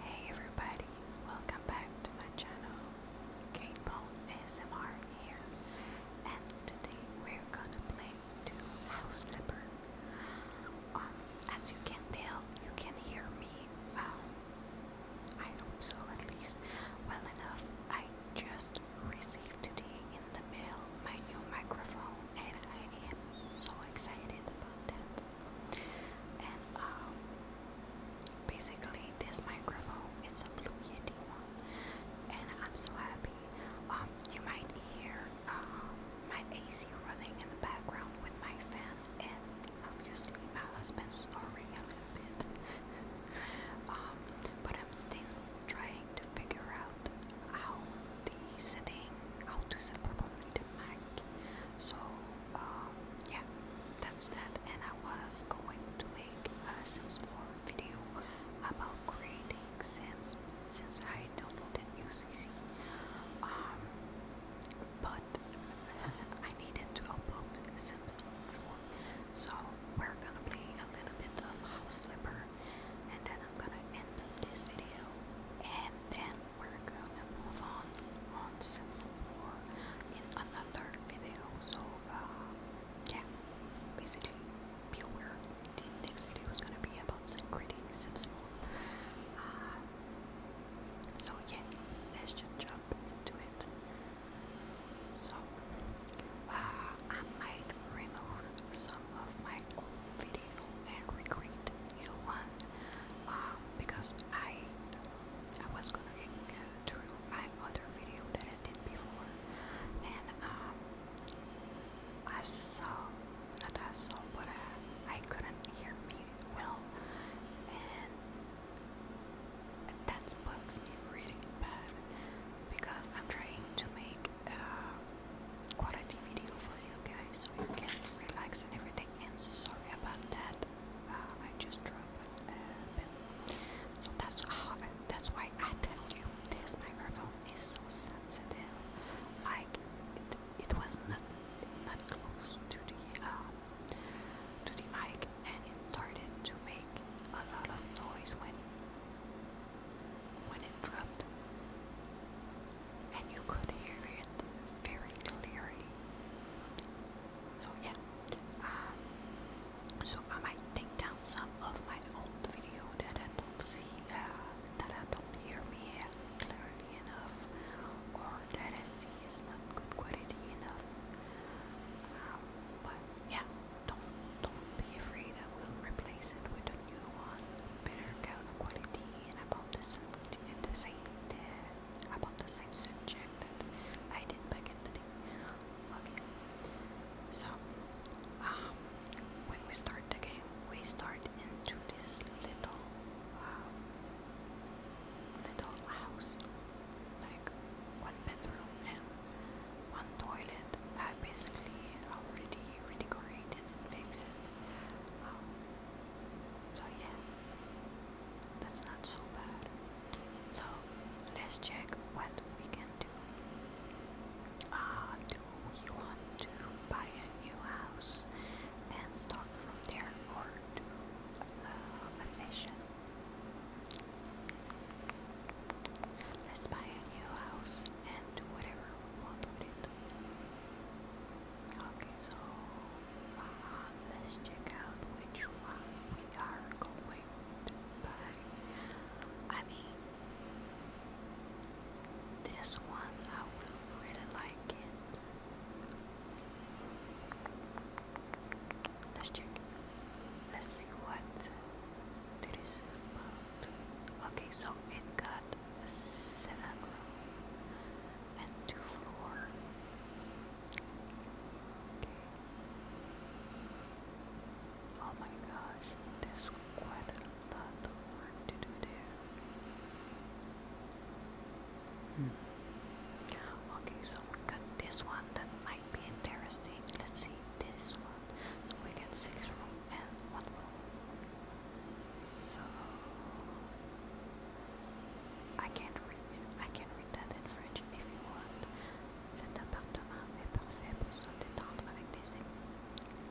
Hey everybody, welcome back to my channel. Kate Paul ASMR here, and today we're gonna play House Flipper. Um, as you can tell, you can hear me. Um, I hope so, at least well enough. I just received today in the mail my new microphone, and I am so excited about and um, basically, this microphone it's a Blue Yeti and I'm so happy. Um, you might hear um, my AC running in the background with my fan, and obviously my been snoring a little bit. but I'm still trying to figure out how the setting, how to set properly the Mac. So um, yeah, that's that. And I was going to make a Sims 4 video about creating Sims since I downloaded UCC. Um, but I needed to upload Sims 4, so we're gonna play a little bit of House Flipper, and then I'm gonna end this video, and then work and move on on Sims 4 in another video. So uh, yeah, basically be aware the next video is gonna be about creating Sims 4. Uh, so yeah, let's just jump into it. So uh, I might remove some of my old videos and recreate new one uh, because I I was gonna go uh, through my other video that I did before and um, I saw that I saw but I, I couldn't hear me well and that bugs me really bad because I'm trying to make uh, quality video for you guys so you can relax and everything. And sorry about that, uh, I just dropped So that's that's why I tell you this microphone is so sensitive. Like it, it was not not close to the um, to the mic, and it started to make a lot of noise when when it dropped and you could hear it very clearly. So yeah, um, so I might take down some of my old video that I don't see, uh, that I don't hear me clearly enough, or that I see is not good quality enough. Um, but yeah, don't don't be afraid. I will replace it with a new one, better quality and about the same, the same, uh, about the same subject that I did back in the day. so um, when we start the game, we start into this little, um, little house, like one bedroom and one toilet. I basically already redecorated and fixed it. Um, so yeah, that's not so bad. So let's check what we can do. Ah, do we want to buy a new house and start from there or do uh, a mission? Let's buy a new house and do whatever we want with it. Okay, so uh, let's check out which one we are going to buy. I mean, this one I will really like it. Let's check. Let's see what this about. Okay, so it got seven room and two floor. Oh my gosh, there's quite a lot of work to do there. Hmm. Okay, so we got this one that might be interesting. Let's see this one. So we get six room and one floor. So I can read I can read that in French if you want. Cet appartement est parfait pour se détendre avec des amis.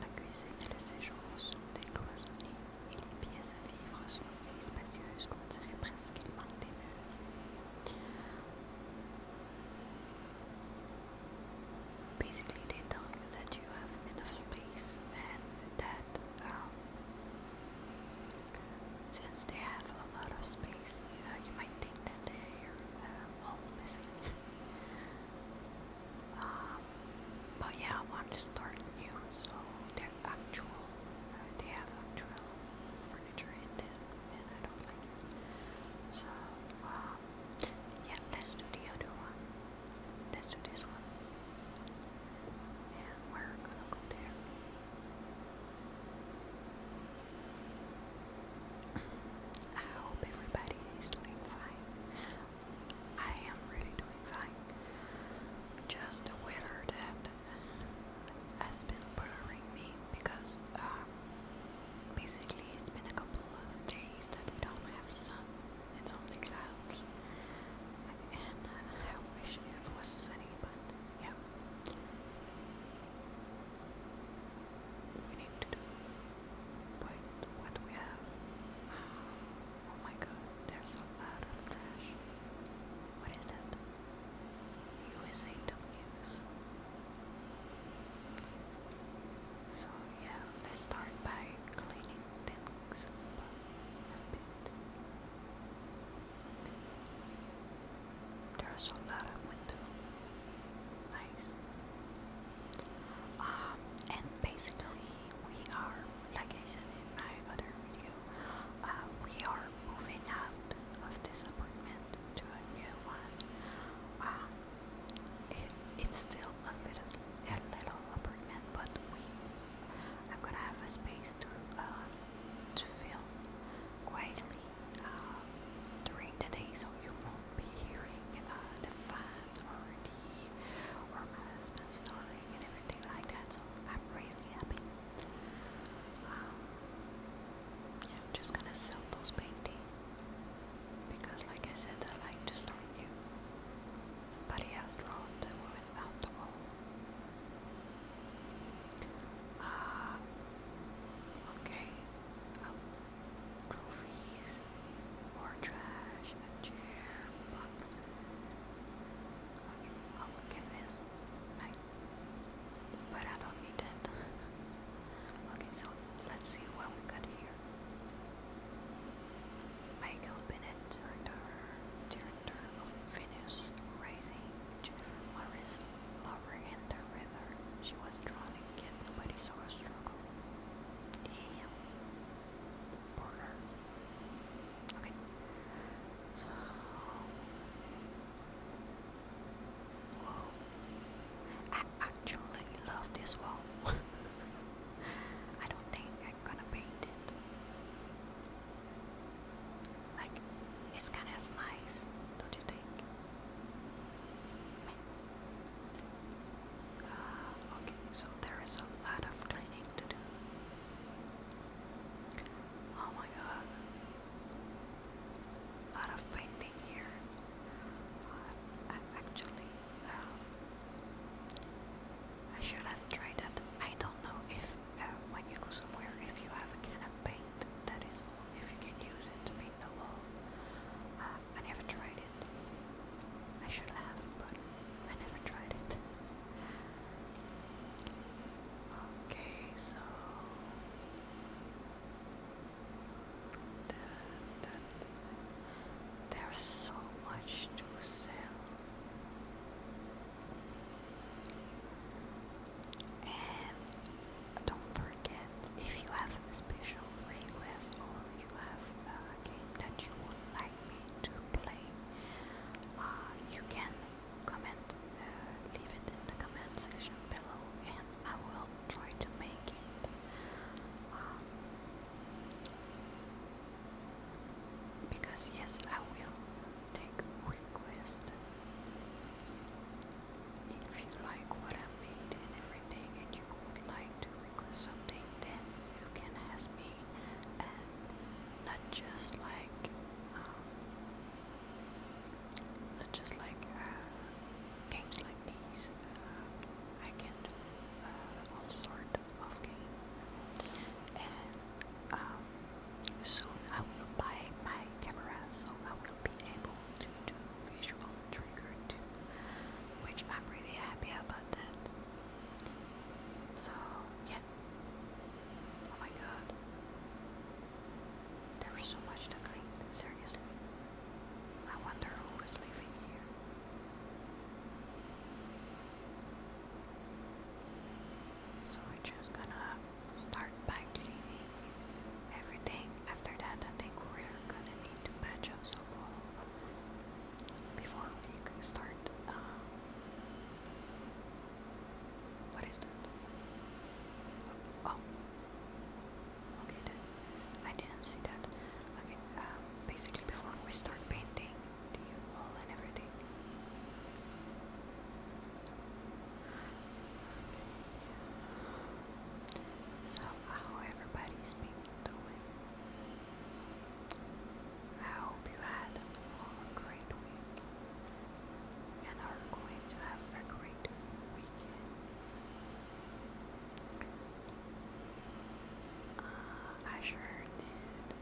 La cuisine et le séjour sont décloisonnés et les pièces à vivre sont si spacieuses qu'on dirait presque qu'il manque des murs. Basically, they tell you that you have enough space and that that um, since they have a lot of space, uh, you might think that they're uh, all missing. um, but yeah, I want to start new, so they're actual. Uh, they have actual furniture in them, and I don't like it. So um, yeah, let's do the other one. That's what do this one. we're gonna go there. I hope everybody is doing fine. I am really doing fine. Just the weather that has been bothering me because uh, basically it's been a couple of days that we don't have sun it's only clouds. And uh, I wish it was sunny, but yeah. We need to do point what we have. Oh my god, there's a lot of trash. What is that? USA So yeah, let's start by cleaning there's a lot of window. Nice. Um, and basically we are, like I said in my other video, uh, we are moving out of this apartment to a new one. Um, it's still a little, a little apartment, but we I'm gonna have a space to uh, to film quietly uh, during the day, so you won't be hearing uh, the fans or the or my husband snoring and everything like that. So I'm really happy. Um, yeah, I'm just gonna sell those paintings because, like I said, I like to start you. Somebody else drawn went uh, okay. Um, more trash, chair, box. I'll oh, look at this. but I don't need that. okay, so let's see what we got here. Michael Bennett, director, director of Venus Rising, Jennifer Morris, lover in the river. She was drowning yet nobody saw her struggle. Damn. Poor Okay. So. Whoa. I actually love this wall. I don't think gonna paint it. Like, it's kind of nice, don't you think? Uh, okay, so there is a lot of cleaning to do. Oh my god. lot of painting here. Uh, actually, uh, I should have tried that. I don't know if uh, when you go somewhere, if you have a can of paint that is full, if you can use it to paint the wall. Uh, I never tried it. I should have, but I never tried it. Okay, so. There's so much to sell. And don't forget if you have a special request or you have a game that you would like me to play, uh, you can comment, uh, leave it in the comment section below, and I will try to make it. Um, because yes, I will take request. If you like what I made and everything, and you would like to request something, then you can ask me, and not just like, um, not just like uh, games like these. Uh, I can do uh, all sort of And um, soon I will buy my camera, so I will be able to do visual trigger too, which I'm really happy about that. So yeah. Oh my god. There is so much to clean, seriously. I wonder who is living here. So we're just gonna start by cleaning everything. After that, I think we're gonna need to patch up some wall before we start. Um, what is that? Oh, okay. Then. I didn't see that. Okay. Uh, basically, before we start painting, so how everybody's been doing? I hope you had a great week and are going to have a great weekend. Uh, I sure did.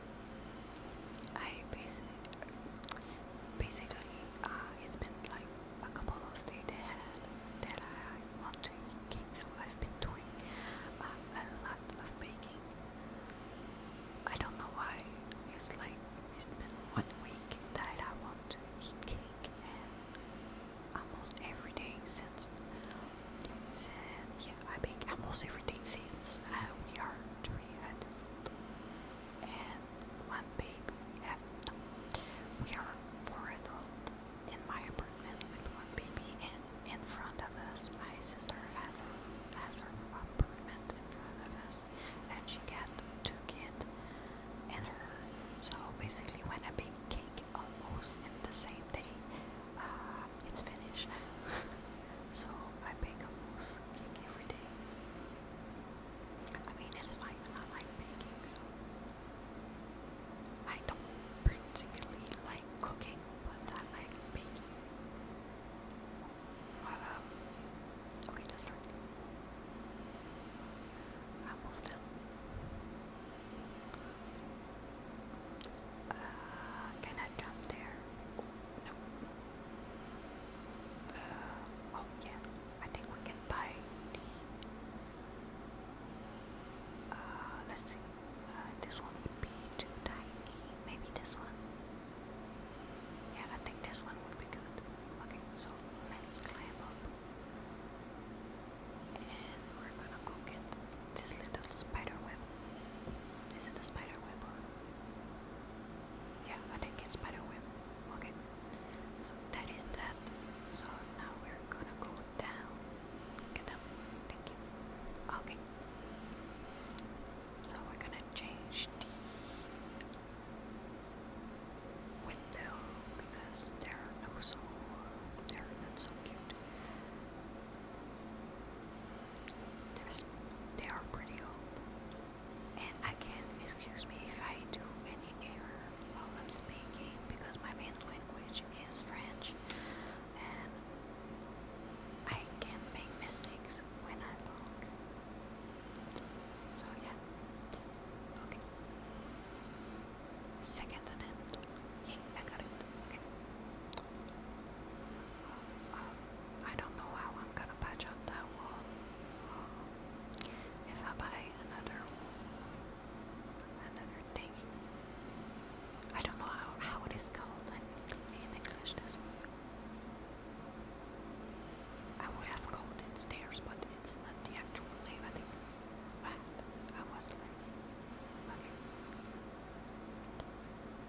I basically, basically, uh, it's been like a couple of days that, that I want to eat cake, so I've been doing uh, a lot of baking. I don't know why. It's like it's been one week that I want to eat cake, almost every day since so, yeah, I bake almost every day since uh, we are three adults and one baby. Uh, we are four adults in my apartment with one baby, and in front of us, my sister has, has her apartment in front of us, and she got two kids in her. So basically, when I bake cake almost in the same day, uh, it's finished. So I bake almost cake every day. I mean, it's fine, I like baking, so. I don't particularly like cooking, but I like baking. Um, okay, let's start. almost done. Uh, can jump there? No. Uh, oh yeah, I think we can buy uh, let's see. Uh, this one would be too tiny. Maybe this one. Yeah, I think this one would be good. Okay, so let's climb up, and we're gonna go get this little spider web. Is it a spider web or? Yeah, I think it's spider web. Okay. So that is that. So now we're gonna go down. Get up. Thank you. Okay. So we're gonna change the window because they're no so they're not so cute they are pretty old. And I can excuse me if I do any error while I'm speaking because my main language is French and I can make mistakes when I talk. So, yeah. Okay. Second attempt. Yay, I got it. Okay. I don't know how I'm gonna patch up that wall. If I buy another another thing. I don't know how, how it is called in, in English this I would have called it stairs, but it's not the actual name I think. I was like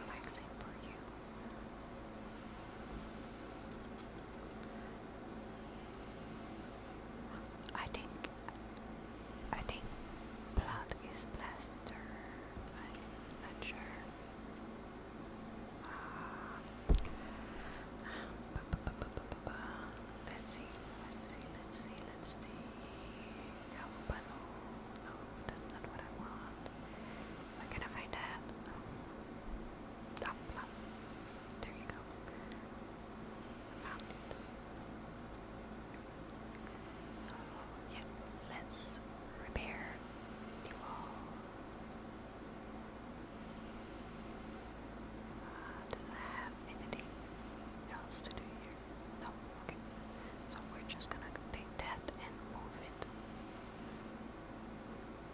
relaxing for you. I think I think blood is plaster. I'm not sure. Uh, ba -ba -ba -ba -ba -ba -ba. Let's see, let's see, let's see, let's see. Galvano. No, that's not what I want. Where can I find it? Oh. there you go. Found it. So yeah, let's repair the wall. Uh, does it have anything else to do here? No, okay. So we're just gonna take that and move it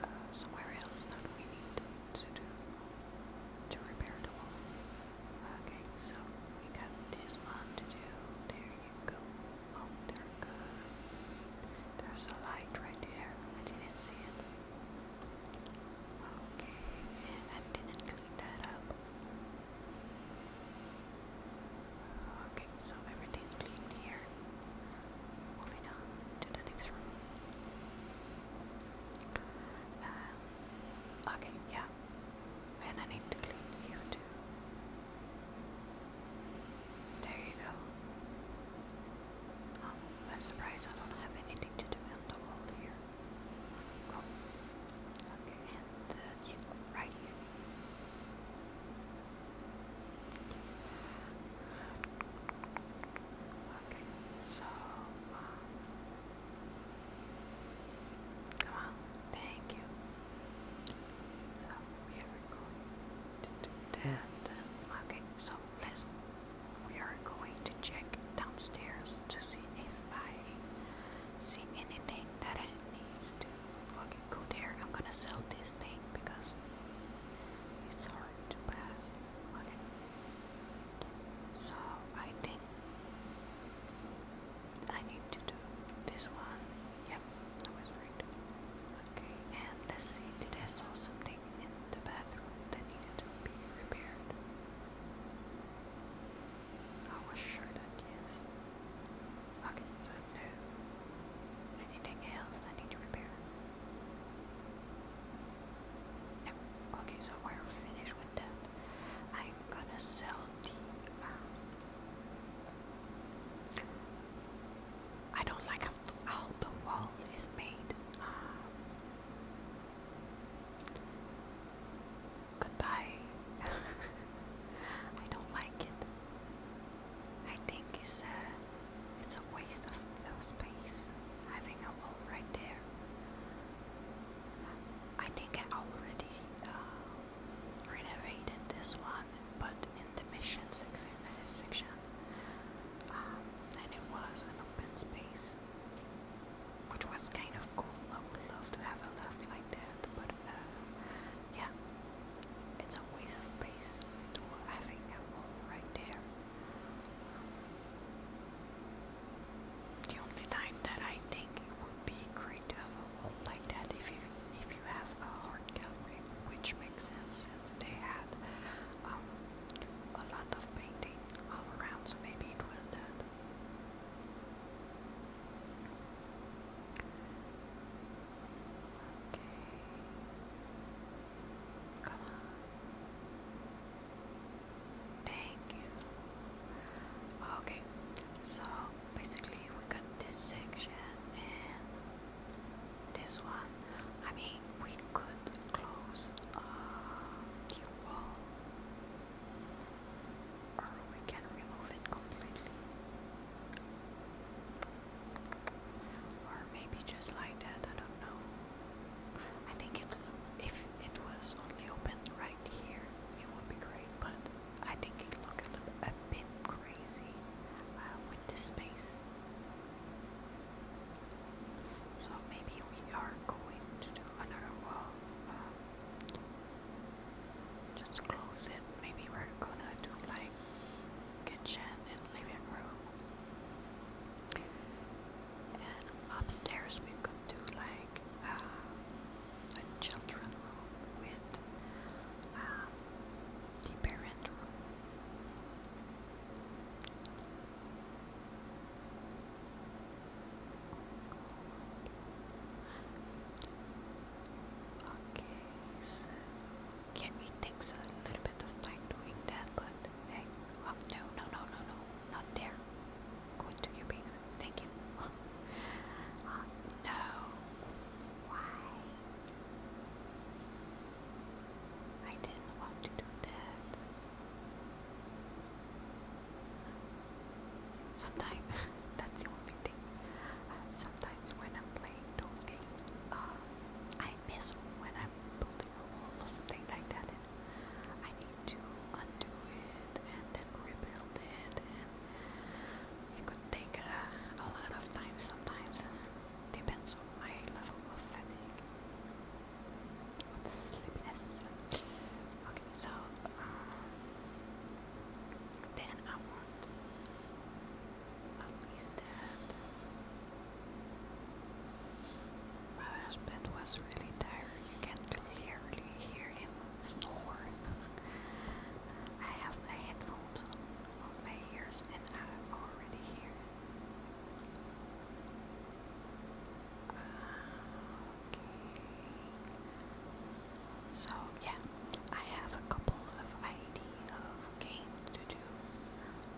uh, somewhere else that we need to to repair Okay, so we got this one to do. There you go. Oh, they're There's a light right there. I didn't see it. Okay, and I didn't clean that up. Okay, so everything's clean here. Moving on to the next room. Um, okay, yeah. And I need to clean you too. There you go. Um, I'm surprised I don't have anything to do on the wall here. Cool. Okay, and uh, right here. Okay, so um, come on, thank you. So we are going to do that. Okay, so let's we are going to check downstairs to see if I see anything that I need to Okay, go there. I'm gonna sell this thing because it's hard to pass. Okay. So I think I need to do this one. Yep, I was right. Okay, and let's see, did I saw something in the bathroom that needed to be repaired? I was sure that yes. Okay, so no. Anything else I need to repair? No. Okay, so we're finished with that. I'm gonna sell the. Um, I don't like how, the wall is made. Um, goodbye. I don't like it. I think it's a, it's a waste of no space having a wall right there. I think I already uh, renovated this one, but in the mission section, uh, section um, and it was an open space, which was kind of cool. I would love to have a loft like that, but uh, yeah, it's a waste of space having a wall right there. The only time that I think it would be great to have a wall like that if if you have a hard gallery, which makes sense since they had um, a lot of painting all around, so maybe it was that. Okay. Come on. Thank you. Okay, so basically we got this section and this one. I mean, we could close the wall, or we can remove it completely. Or maybe just like that, I don't know. I think if it was only open right here, it would be great, but I think it looked a, bit crazy uh, with space. So maybe we are going to do another wall. Uh, just close it. Maybe we're gonna do like kitchen and living room. And upstairs we could do like uh, a children room with um, parent room. Okay, so get me takes a little bit of time doing that, but hey, I'm no, no, no, no, no, not there. Go to your base. Thank uh, no. Why? I didn't want to do that. Sometimes that's the only sometimes when I'm playing those games, uh, I miss when I'm building a wall or something like that, and I need to undo it and then rebuild it, and it could take a lot of time sometimes. Depends on my level of fatigue. Of sleepiness. Okay, so uh, then I want at least that. My husband was really tired. You can clearly hear him snore. I have my headphones on my ears and I already hear it. Ah, so yeah, I have a couple of idea of games to do.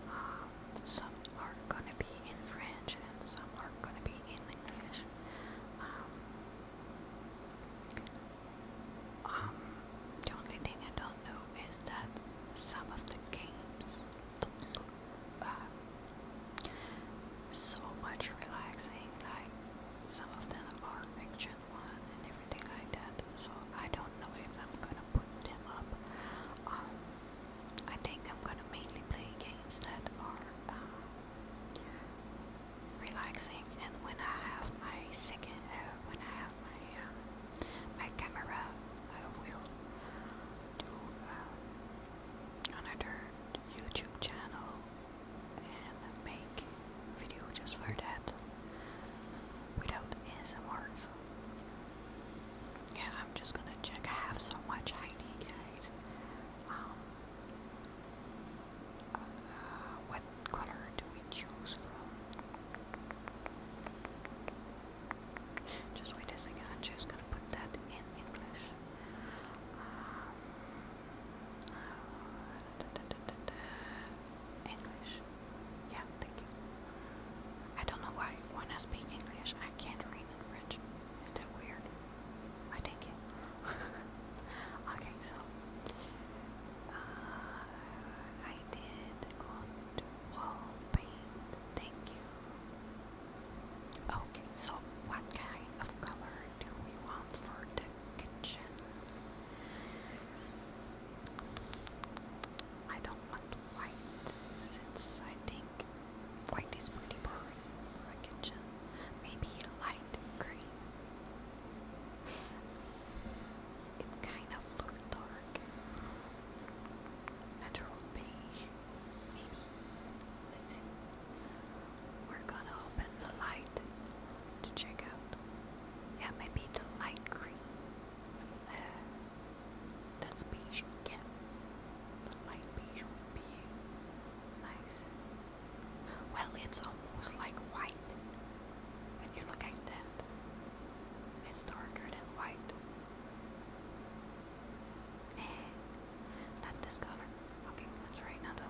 Um, some are gonna be in French and some are gonna be in English. Um, um, the only thing I don't know is that some of the games do uh, so much relaxing. Like some of them are action and everything like that. So I don't know if I'm gonna put them up. Um, I think I'm gonna mainly play games that are uh, relaxing. And when I have my second, uh, when I have my uh, my camera, I will do um, another YouTube channel and make video just for that without ASMRs. Yeah, I'm just gonna check. I much ID, guys. Um, uh, what color do we choose from? Just wait a second. I'm just gonna put that in English. Um, uh, English. Yeah, thank you. I don't know why you want to speak English I can't read in French. It's that weird? I think okay, so uh, I did go to wall Thank you. Okay, so what kind of color do we want for the kitchen. I don't want white since I think white is pretty boring for a kitchen. Maybe light green. It kind of looks dark. Natural beige, maybe. Let's see. We're gonna open the light to check out. Yeah, maybe the light green. Uh, that's beige, yeah. light beige would nice. Well, it's almost like white when you look at that. It's darker than white. Eh, not this color. Okay, that's right, not one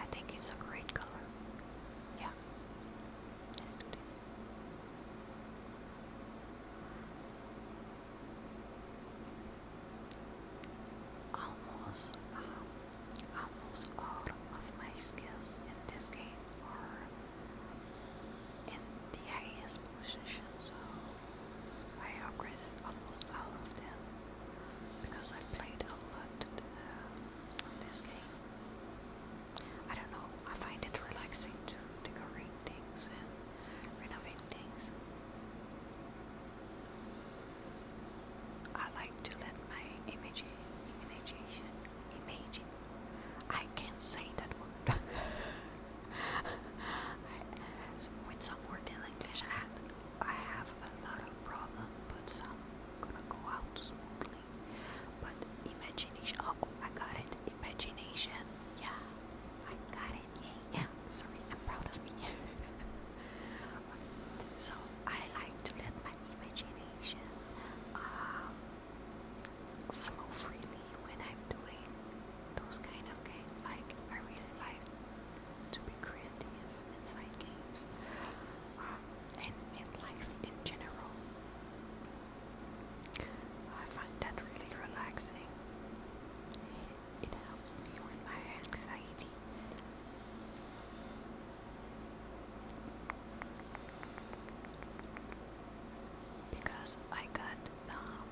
I think it's a great color. Yeah. Almost, uh, almost all of my skills in this game are in the AS position, I upgraded almost all of them because I played a lot uh, on this game. I don't know, I find it relaxing to decorate things and renovate things. I like to let my imagination, imagine. I can't say that word. With some word in English, I, had, I have a lot of problem, but some gonna go out smoothly. But imagination, oh, oh I got it. Imagination, yeah, I got it. Yeah, yeah. Sorry, I'm proud of me. so I like to let my imagination um, flow freely when I'm doing those kind of games. Like I really like to be creative inside games um, and in life in general. I find that really relaxing. It helps me with my anxiety. Because I got um,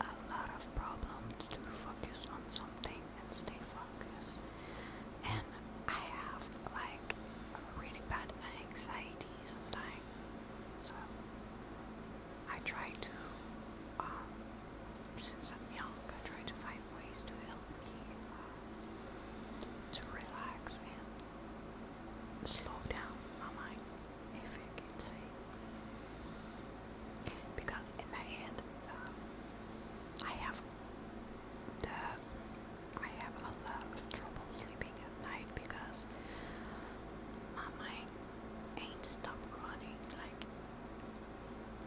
a lot of problems to focus on something and stay focused. And I have like really bad anxiety sometimes, so I try to, um, since I'm young, I try to find ways to help me uh, to relax and slow down my mind if you can see. Because in my head, um, I have the I have a lot of trouble sleeping at night because my mind ain't stop running like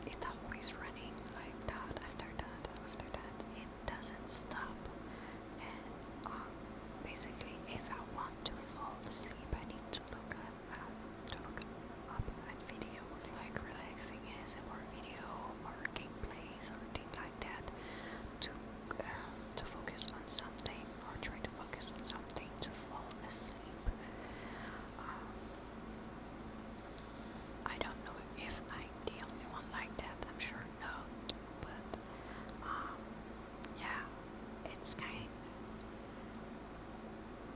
it's always running like that after that after that it doesn't stop and um, basically if I want to fall asleep I need to look at to look up at videos like relaxing ASMR video or game plays or thing like that to uh, to focus on something or try to focus on something to fall asleep. Um, I don't know if I'm the only one like that. I'm sure no, but um, yeah, it's kind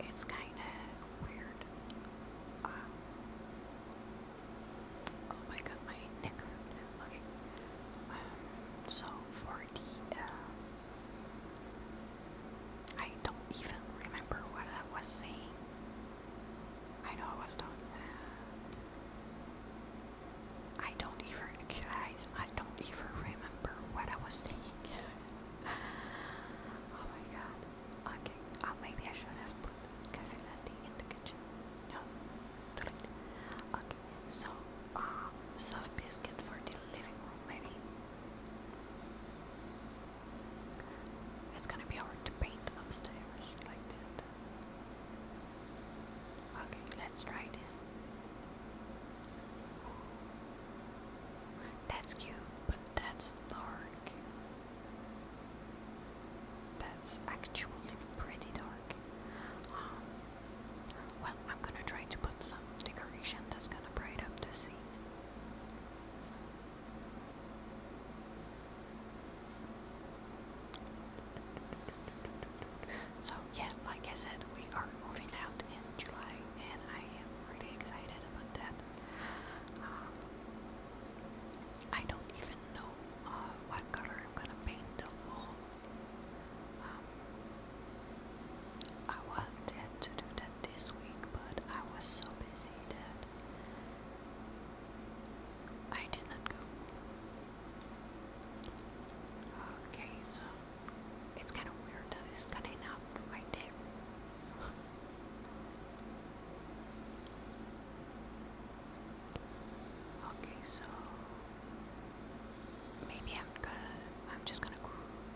it's kind of weird. Um, oh my god, my neck Okay, um, so for the, uh, I don't even remember what I was saying. I know I was talking. I don't even, guys, I don't even remember what I was saying oh my god. Okay. Oh, maybe I should have put cafe latte in the kitchen. No. Okay. So, um, soft biscuit for the living room, maybe. It's gonna be hard to paint upstairs like that. Okay, let's try this. That's cute, but that's dark. That's actually pretty dark. Um, well, I'm gonna try to put some decoration that's gonna bright up the scene. So yeah, like I said, we are moving out in July, and I am really excited about that. Um, I don't even know uh, what color I'm gonna paint the wall. Um, I wanted to do that this week, but I was so busy that I did not go. Okay, so it's kind of weird that it's kind out right there. okay, so maybe I'm gonna. I'm just gonna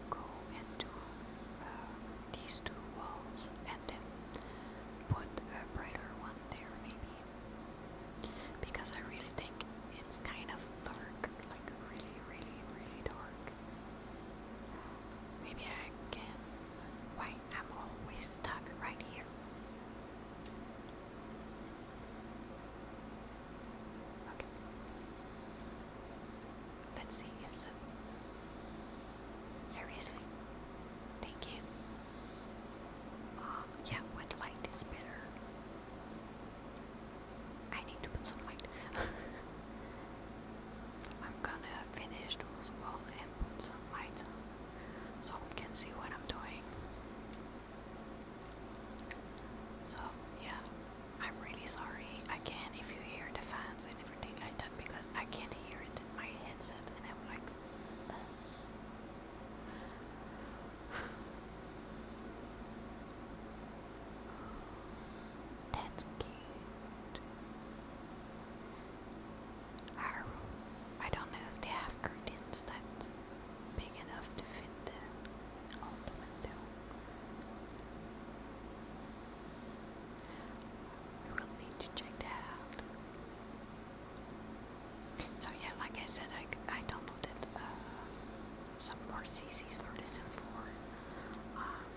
go, into uh, these two walls and then put a brighter one there, maybe. Because I really think it's kind of dark, like really, really, really dark. Maybe I can. Why I'm always stuck right here? Okay. Let's see if so. Seriously? Thank you. Um, yeah, what light is better? I need to put some light. I'm gonna finish those walls and put some lights on so we can see what I'm doing. So, yeah, I'm really sorry again if you hear the fans and everything like that because I can't hear it in my headset and I'm like that's cute. Our room. I don't know if they have curtains that big enough to fit the all window. We will need to check that out. So yeah, like I said, I, I downloaded uh, some more CCs for this and for um,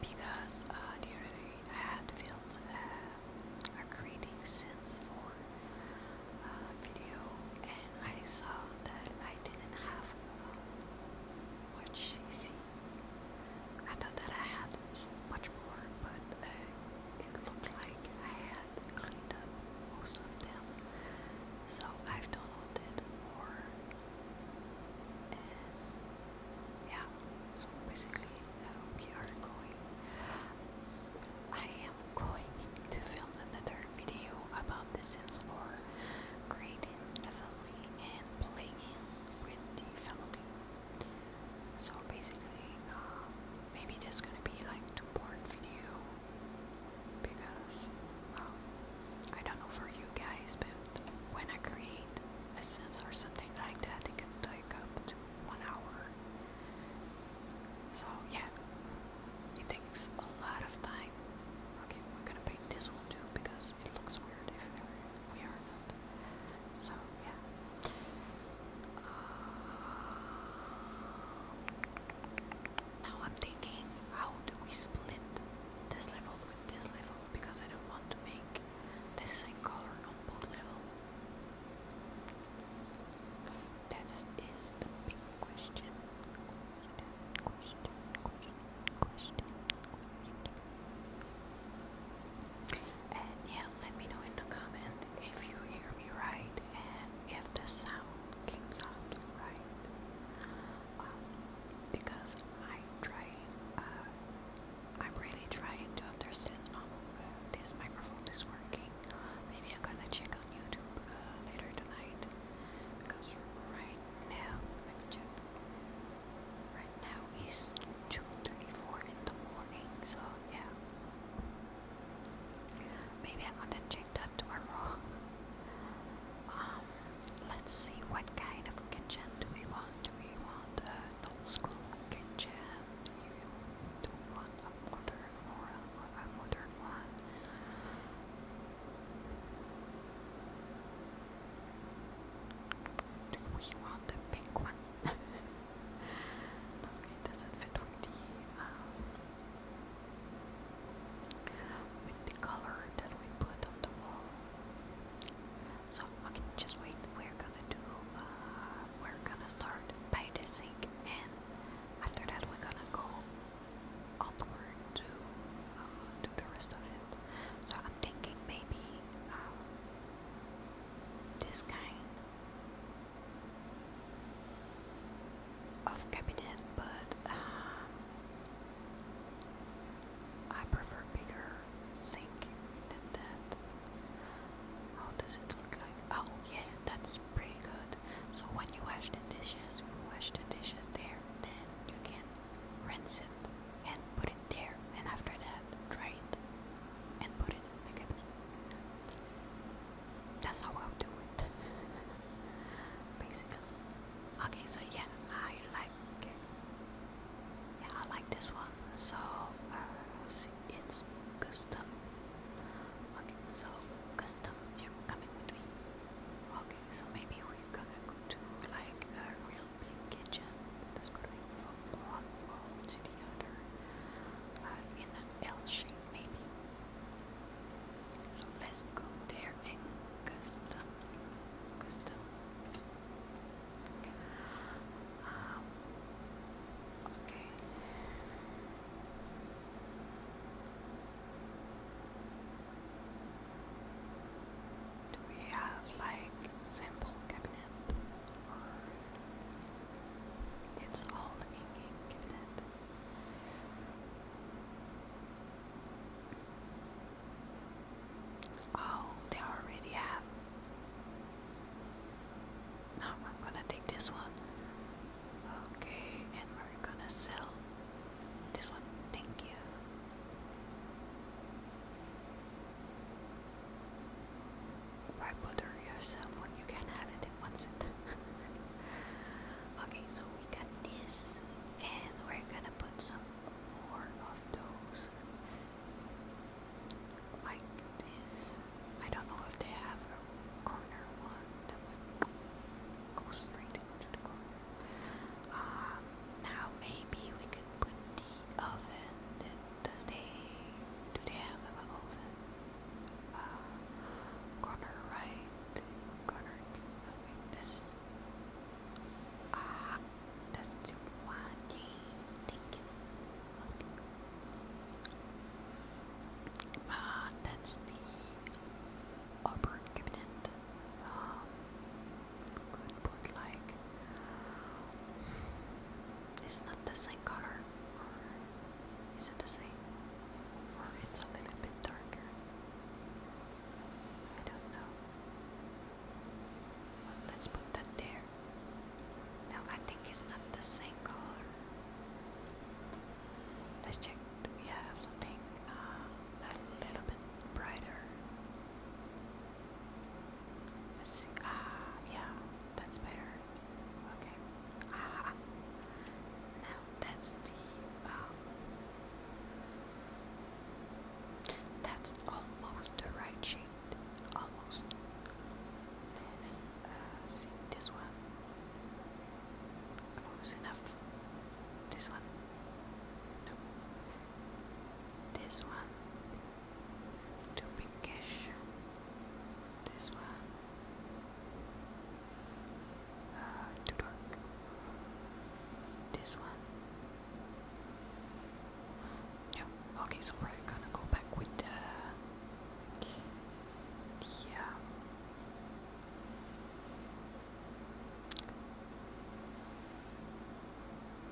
because uh, during I had filmed uh, a creating Sims 4 uh, video and I saw that I didn't have uh, much CC. I thought that I had much more, but uh, it looked like I had cleaned up most of them so I've done all that and yeah, so basically uh, we are going I am going to film another video about The Sims 4 creating a family and playing with the family. So basically um, maybe is gonna be like two part video because, I don't know for you guys, but when I create a Sims or something like that, it can take up to one hour. So, yeah, it takes a lot of time. Okay, we're gonna paint this one too because it looks weird if we are not. So, yeah. Uh, now I'm thinking, how do we split this level with this level? Because I don't want to make the same color on both level. That is the big question. And yeah, let me know in the comment if you hear me right and if the sound comes out right. Um, because I try, uh, I'm really trying to understand how this microphone is working. Maybe I'm gonna check on YouTube uh, later tonight because right now, let me check. Right now is 2:34 in the morning, so yeah. Maybe i want to check that tomorrow. Um, let's see what kind of kitchen do we want? we want an old school kitchen? Do we want a modern or a, modern one? Do we want the pink one? it doesn't fit with the um, with the color that we put on the wall. So okay, just wait. We're gonna do. Uh, we're gonna start by the sink, and after that, we're gonna go onward to uh, do the rest of it. So I'm thinking maybe um, this kind of cabinet, but. Uh, I prefer bigger sink than that. How does it look like? Oh yeah, that's pretty good. So when you wash the dishes, you wash the dishes there, then you can rinse it and put it there and after that dry it and put it in the cabinet. That's how I'll do it. Basically. Okay, so yeah, I like yeah I like this one. So uh, it's custom. Okay, so custom, you coming with me. Okay, so maybe we're gonna go to like a real big kitchen that's going from one wall to the other uh, in an L shape, maybe. So let's go there and custom, custom. Um, okay. Do we have like sample cabinet or it's all in cabinet? Oh, they already have. No, I'm gonna take this one. Okay, and we're gonna sell this one. Thank you. Why bother yourself when you can have it in one set? okay, so we got this and we're gonna put some more of those like this. I don't know if they have a corner one that would go straight into the corner. Um, now maybe we could put the oven. Does they do they have an oven? Uh, corner right, corner. Okay, this Ah, that's too wacky. Thank you. Ah, that's the upper uh, uh, cabinet. Um, uh, good, but like, it's not the same color, is it the same? it's a little bit darker let's put that there. No, I think it's not the same color. Let's check. Do something uh, a little bit brighter? Let's see. Ah, yeah, that's better. Okay. Ah, now that's the um, that's almost the right shape. Almost. This, uh, this one. Close enough. This one. No. This one. Too pinkish. This one. Uh, too dark. This one. No. Okay, so we're gonna go back with the. Yeah.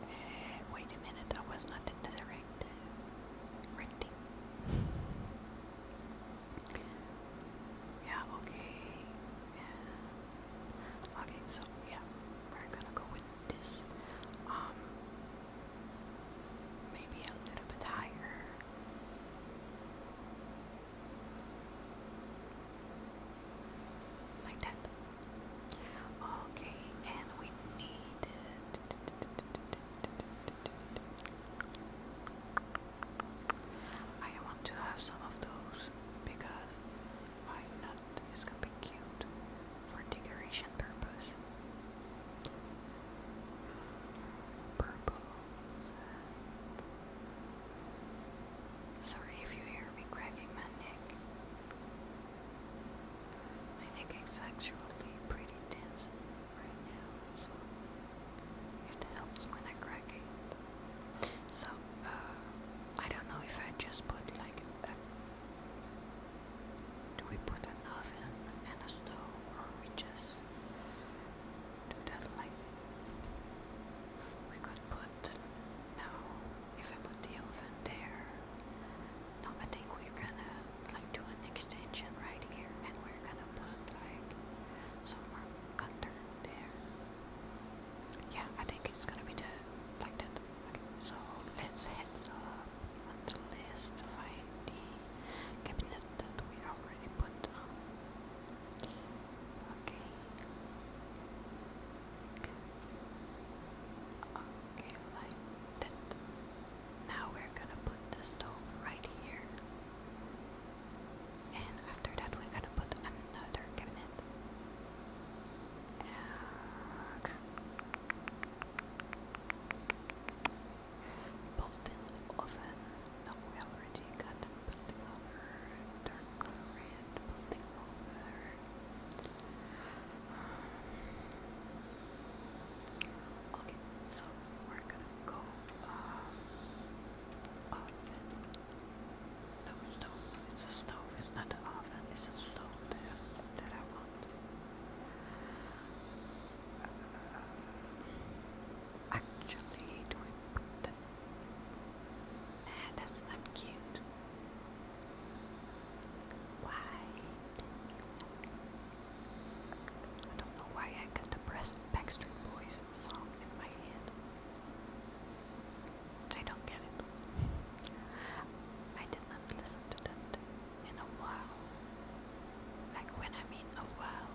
Eh, wait a minute, I was not in the right, uh, yeah, okay. Okay, so yeah, we're gonna go with this. Um maybe a little bit higher. Like that. Okay, and we need I want to have some of those because why not? It's gonna be cute for decoration purpose. Purple Sorry if you hear me cracking my neck. My neck is actually pretty tense right now, so it helps when I crack it. So uh, I don't know if I just put like do we put an oven and a stove or we just do that like we could put no if I put the oven there no I think we're gonna like do an extension right here and we're gonna put like some more cutter there yeah, I think it's gonna be the like that. Okay, so let's head up on the list to find the cabinet that we already put on. Okay. Okay, like that. Now we're gonna put the stove right here and after that we're gonna put another cabinet and built-in oven no we already got the building over turn color red building over Okay, so we're gonna go uh, oven no stove. It's a stove. It's not an oven. It's a stove that I want. Uh, actually, do we Nah, that's not cute. Why? I don't know why I got the Backstreet Boys song in my head. I don't get it. I did not listen to that in a while. Like when I mean a while,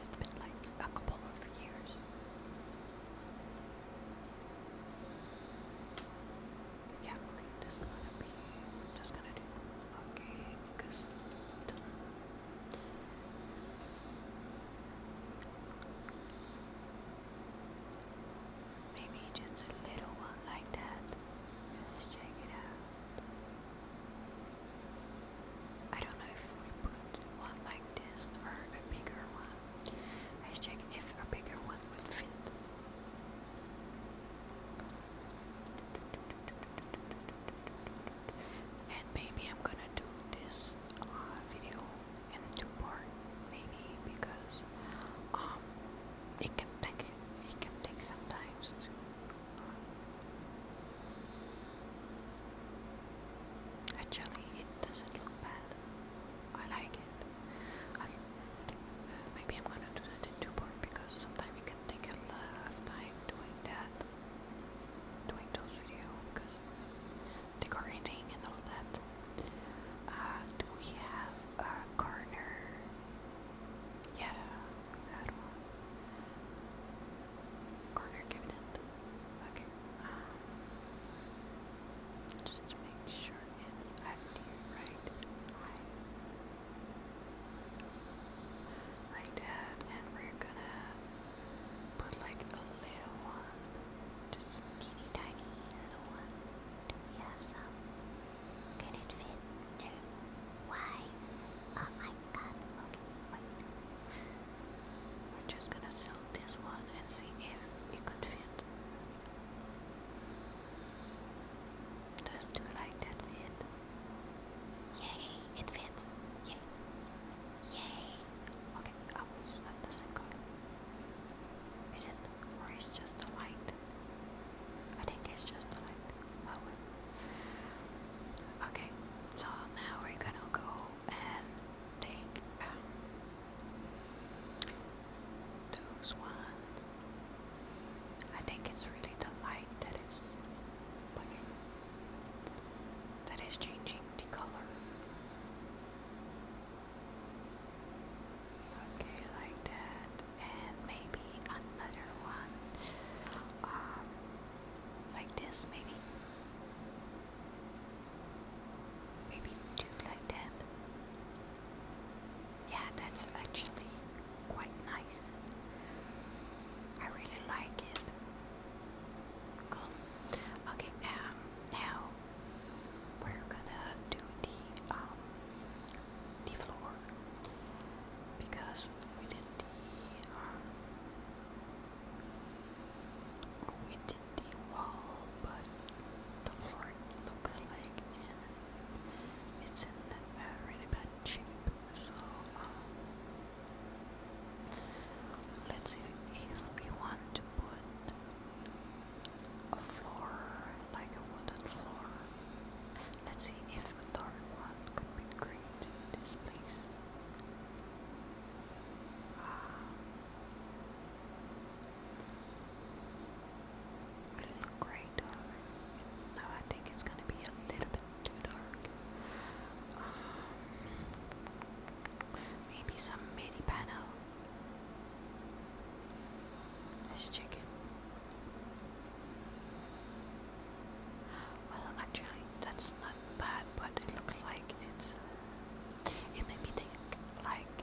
it's been like a couple of years. Yeah, okay, that's gonna be just gonna do okay because Maybe just a little one like that. Let's check it out. I don't know if we put one like this or a bigger one. Let's check if a bigger one would fit. And maybe I'm gonna do this uh, video in two part maybe because um it can take it can take sometimes um, actually it doesn't look bad I like it maybe I'm gonna do that in two part because sometimes it can take a lot of time doing that doing those videos because decorating and all that. Uh, do we have a corner? Yeah, that one. Corner cabinet. Okay. Um, just make sure it's at the right height. Like that, and we're gonna but like a little one. Just teeny tiny little one. Do we have some? Can it fit? No. Why? Oh my god. Okay, We're just gonna sell this one and see if it could fit. Does do like that fit? Yay, it fits. Yay. Yay! Okay, oh, it's not the same color. Is it? Or is just the light? I think it's just the light. Oh, okay, so now we're gonna go and take um, those ones. I think it's really the light that is That is changing the color. Okay, like that, and maybe another one, um, like this, maybe, maybe two like that. Yeah, that's actually quite nice. I really like it. Come Okay, um, now we're gonna do the um the floor because we did the um we did the wall, but the floor looks like it's in a really bad shape. So um, let's see if we want to put a floor, like a wooden floor. Let's see if a dark one could be great in this place. Ah. A little grey dark. Now I think it's gonna be a little bit too dark. Um, Maybe some midi panel. This chicken. Well, actually, that's not bad, but it looks like it's. It made me think like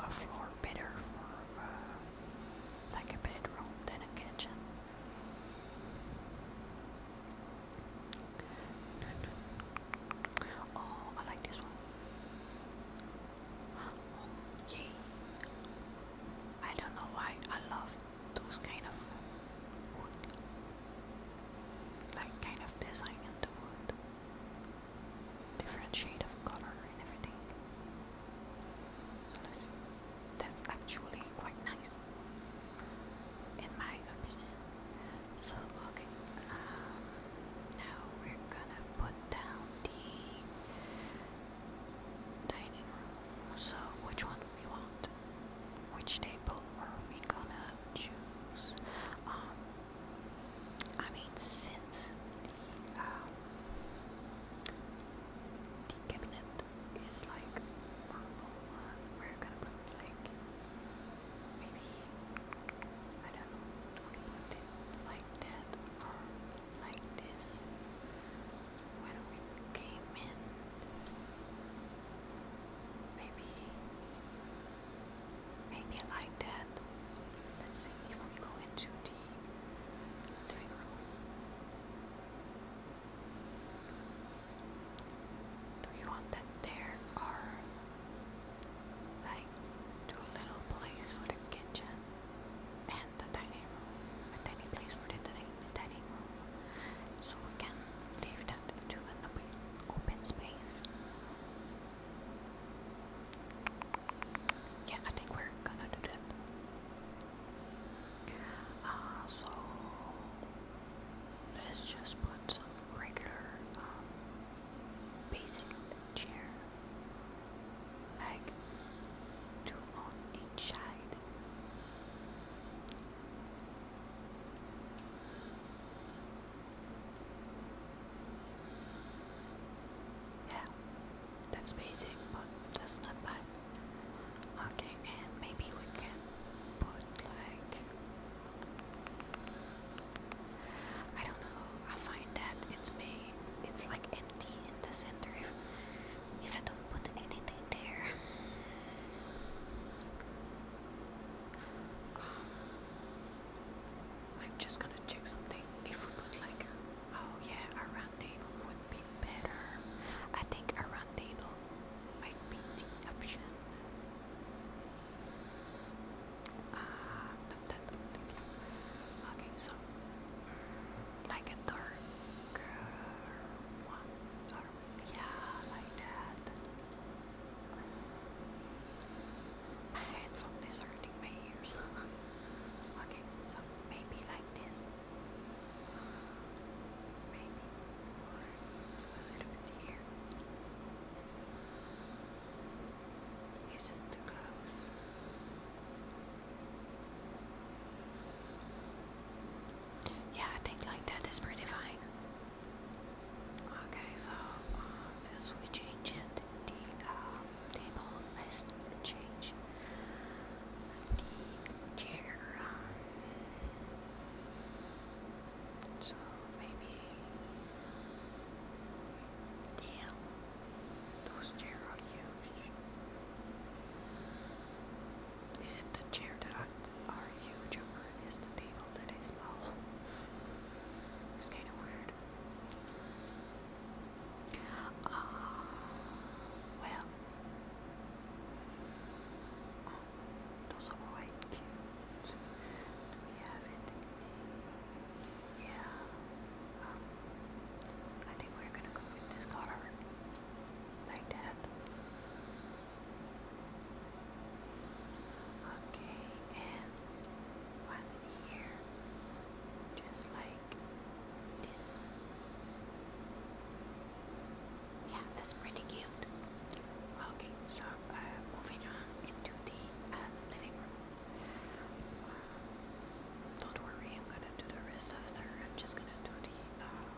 a floor better for uh, like a bedroom than a kitchen. Oh, I like this one. yay. I don't know why I love those kind of wood. Like kind of design in the wood. Different shade of color and everything. So let's see. That's actually quite nice in my opinion. So, okay, um, now we're gonna put down the dining room. So, which one do we want? Which table are we gonna choose? Um, I mean, since the, um, the cabinet it's like purple uh, We're gonna put like maybe I don't know. We put it like that or like this. When we came in, maybe maybe like that. Let's see if we go into the living room. Do you want that there or like do little place for the kitchen and the dining A tiny place for the dining room. So we can leave that to an open, space. Yeah, I think we're gonna do that. Uh, so Let's just put some regular, um, basic chair, like two on each side. Yeah, that's basic, but that's not bad. Okay, and maybe we can put like I don't know. I find that it's me. It's like empty in the center if, if I don't put anything there. Um, I'm just gonna check something. If we put like, oh yeah, a round table would be better. I think a round table might be option. Ah, uh, not that Okay, so like a dark uh, one, or yeah, like that. My headphone is hurting my ears. okay, so maybe like this. Maybe. Or a little bit here. Yeah, I think like that is pretty fine. Okay, so uh, since we changed um, table, let's change chair. So maybe damn those chairs are huge. Is it the chair that are huge or is the table that is small? It's kinda weird. Uh, well, those are quite cute. we have it? Yeah. Um, I think we're gonna go with this color. Like that. Okay, and one here. Just like this yeah, that's pretty cute. Okay, so uh, moving on into the uh, living room. don't worry, I'm gonna do the rest of the. I'm just gonna do the uh,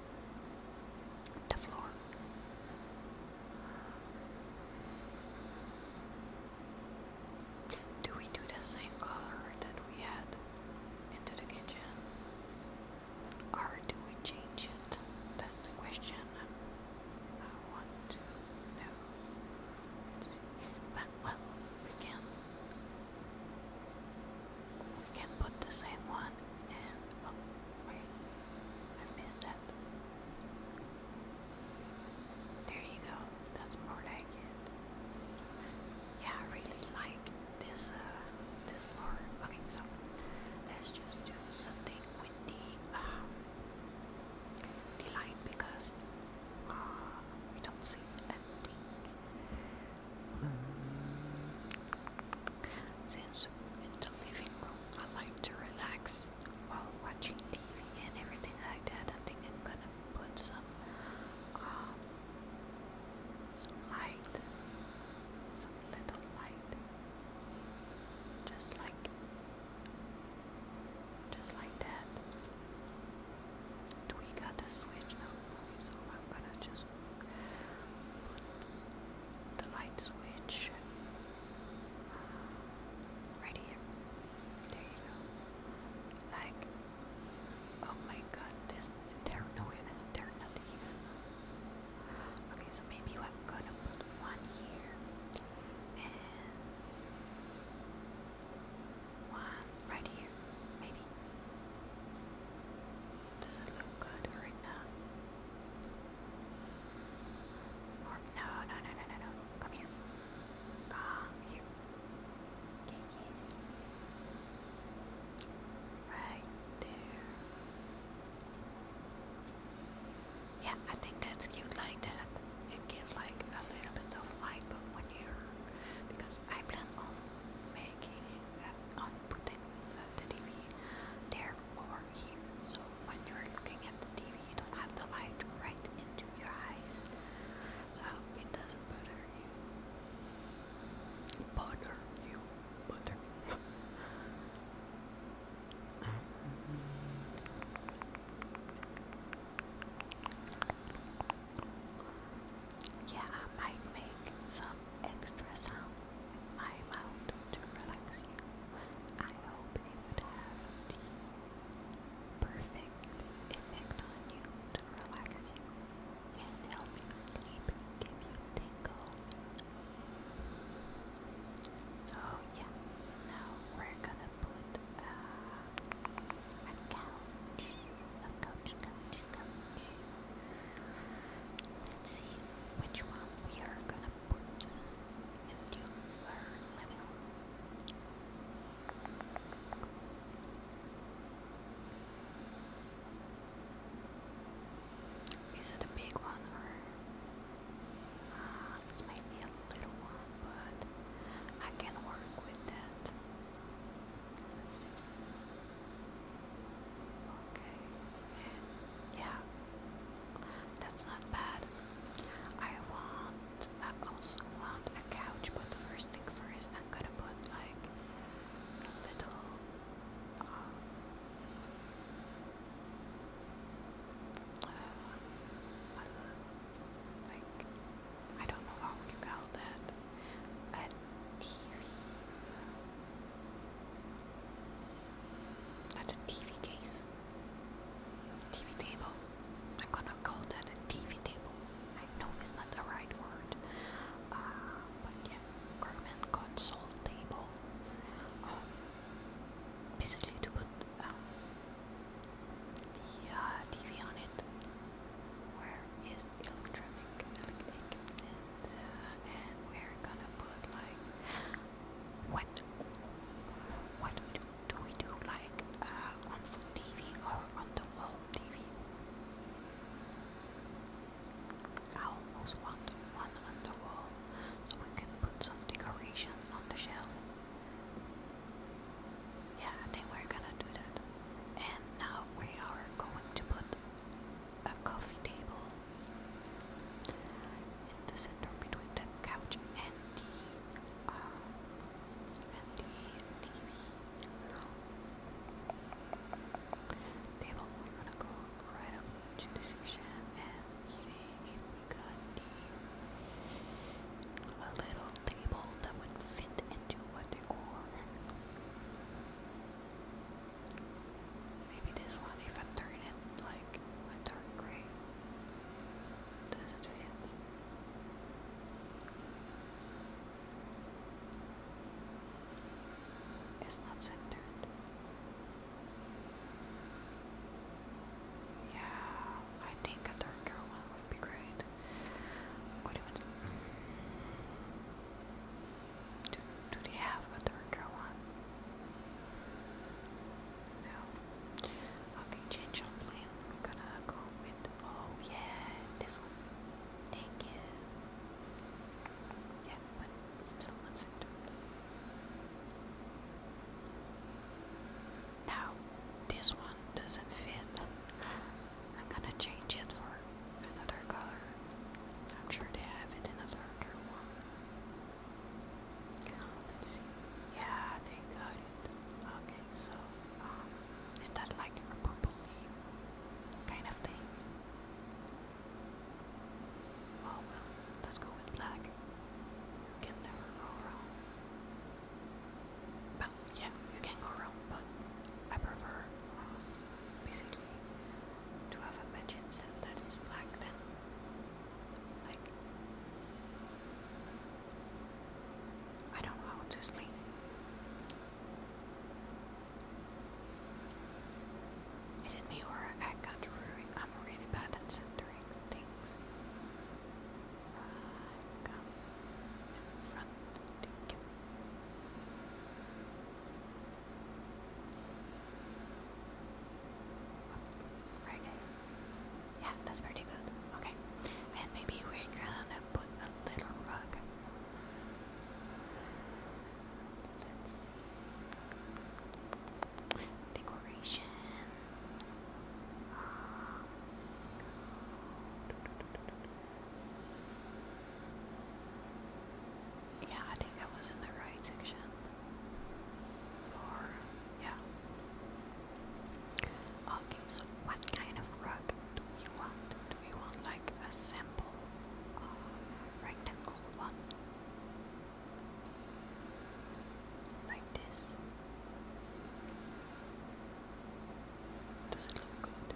the floor. Do we do the same color that we had into the kitchen? or do we change it? That's the question I want to know. But well, we can we can put the same one oh, wait, I missed that. There you go. That's more like it. Yeah, I really like this uh, this lore. Okay, so let's just something with the um, light because uh, we don't see anything. Hmm. Since in the living room, I like to relax while watching TV and everything like that. I think I'm gonna put some um, some light, some little light. Just like just like that. we got the switch so I'm gonna just put the light switch uh, right here. There you go. Like, oh my god, this, they're, no, they're not even Okay, so maybe I'm gonna put one here and one right here, maybe. Does it look good right now? Or no, no, no, no, no, no. Come here. Come here. Okay, yeah there. Yeah, I think that's cute like that. You get like a little bit of light, when you because I plan on making uh, on putting uh, the TV there or here, so when you're looking at the TV, you don't have the light right into your eyes, so it doesn't bother you. Bother you butter. yeah, I might make some extra sound with my mouth to relax you. I hope it would have the perfect effect on you to relax you and help you sleep, give you tingles, so yeah, now we're gonna put uh, a couch. Let's see which one we are gonna put into our living room. Is it a big one or uh, it's maybe a little one, but I can work with that. Okay, yeah, that's not bad. I want, I also want a couch, but first thing first, I'm gonna put like a little I don't know how you call that a TV not a TV case TV table I'm gonna call that a TV table I know it's not the right word uh, but yeah German console table um, basically to put um, the uh, TV on it, where is electronic, electric, uh, and, we're gonna put like what what we do do we do like uh, on the TV or on the wall TV? I almost want one on the wall so we can put some decoration on the shelf. Yeah, I we're gonna do that. And now we are going to put a coffee table in the center between the couch and the uh, TV. Table, we're gonna go right up a little table that would fit into what they call. Maybe this one, if I turn it like a dark gray, does it fit? It's not centered. Yeah, I think a darker one would be great. What do, do, do they have a darker one? No. Okay, change our plan. I'm gonna go with. Oh, yeah, this one. Thank you. Yeah, but still listen to it. Now, this one doesn't fit. I'm gonna change it for another color. I'm sure they have it in a darker one. Let's see. Yeah, they got it. Okay, so, um, is that like a purple kind of thing? Oh, well, let's go with black. You can never go wrong. yeah, you can go wrong, but I prefer um, basically to have a matching set that is black than like I don't know how to explain is it me or I got really, I'm really bad at centering things. Right, Yeah, that's pretty good. Okay. And maybe we're put a little rug decoration. yeah, I think I was in the right section. yeah. Okay, so what kind of rug do we want? Do we want like a simple uh, rectangle one? Like this. Does it look good?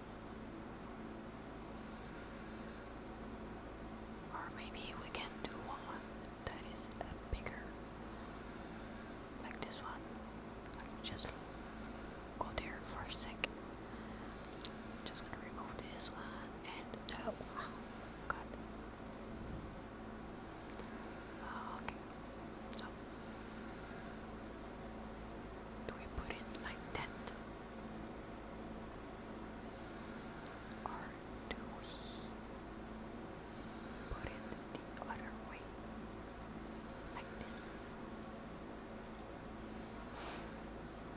Or maybe we can do one that is bigger. Like this one. just go there for a sec. Just gonna remove this one and that oh, one. God. Uh, ah, okay. So do we put it like that? Or do we put it the other way? Like this?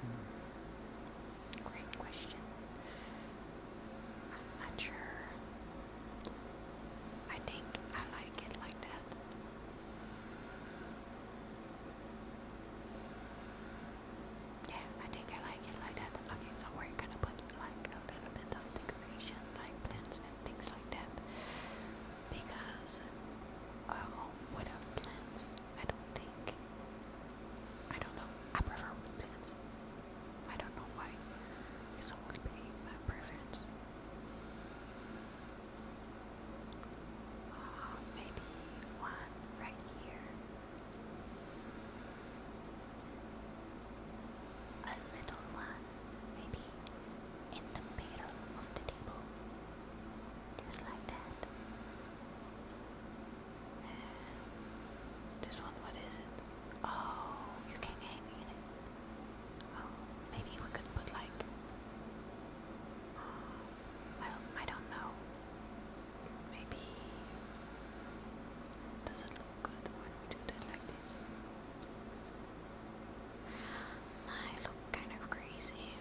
Hmm. Great question. I'm not sure. I think I like it like that. Yeah, I think I like it like that. Okay, so we're gonna put like a little bit of decoration, like plants and things like that. Because uh, a home plants I don't think. I don't know. I prefer plants. I don't know why. It's always been my preference. Uh, maybe one right here. A little one, maybe in the middle of the table. Just like that. This one, what is it? Oh, you can hang in it. Oh, maybe we could put like. I um, I don't know. Maybe. Does it look good when we do that like this? I look kind of crazy.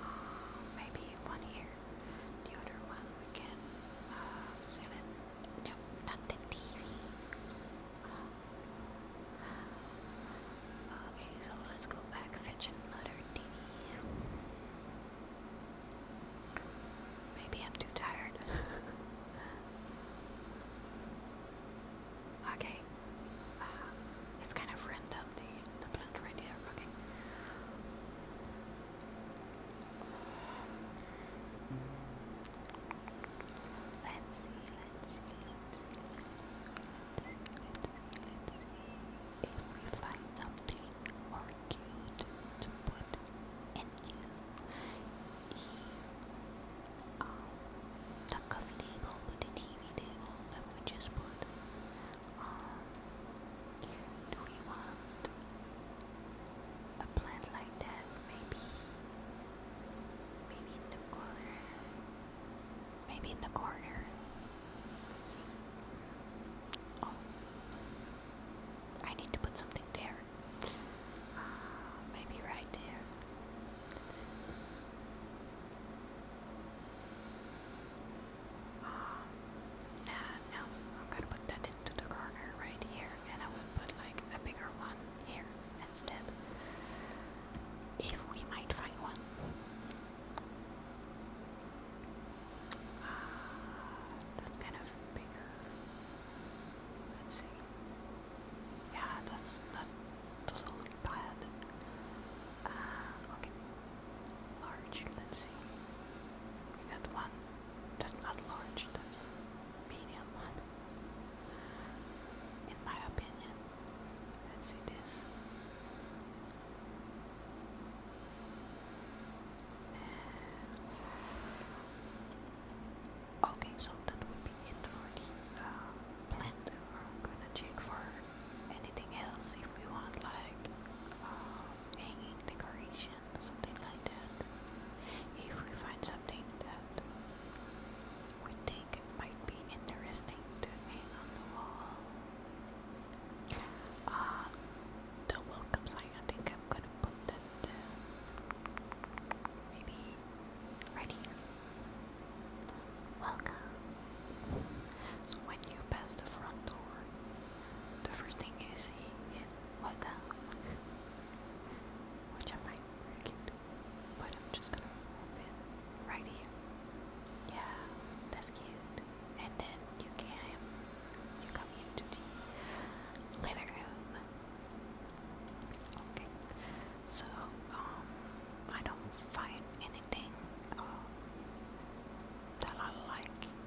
Um, maybe one here. The other one we can uh, select. No, not the TV. Uh, okay, so let's go back, fetch another TV. Maybe I'm too tired. okay, uh, it's kind of random the the right here. Okay. Let's see, let's see, if we find something more cute to put in the coffee table, the TV table we just put. Um, do we want a plant like that? Maybe, maybe in the corner. Maybe in the corner. Oh, I need to put something there. Uh, maybe right there. Um, ah, and now I'm gonna put that into the corner right here, and I will put like a bigger one here instead. If we might find one. Uh, that's kind of bigger. Let's see. Yeah, that's not totally bad. Uh, okay large, let's see. We got one. That's not large, that's medium one. In my opinion. Let's see this. okay, so that would be it for the uh, plant. We're gonna check for anything else if we want, like uh, hanging decoration something like that. If we find something that we think might be interesting to hang on the wall. Uh, the welcome sign, I think I'm gonna put that uh, maybe right Welcome. So when you pass the front door, the first thing you see is what the which I might forget, but I'm just gonna move it right here. Yeah, that's cute. And then you can you come into the living room. Okay, so um, I don't find anything uh, that I like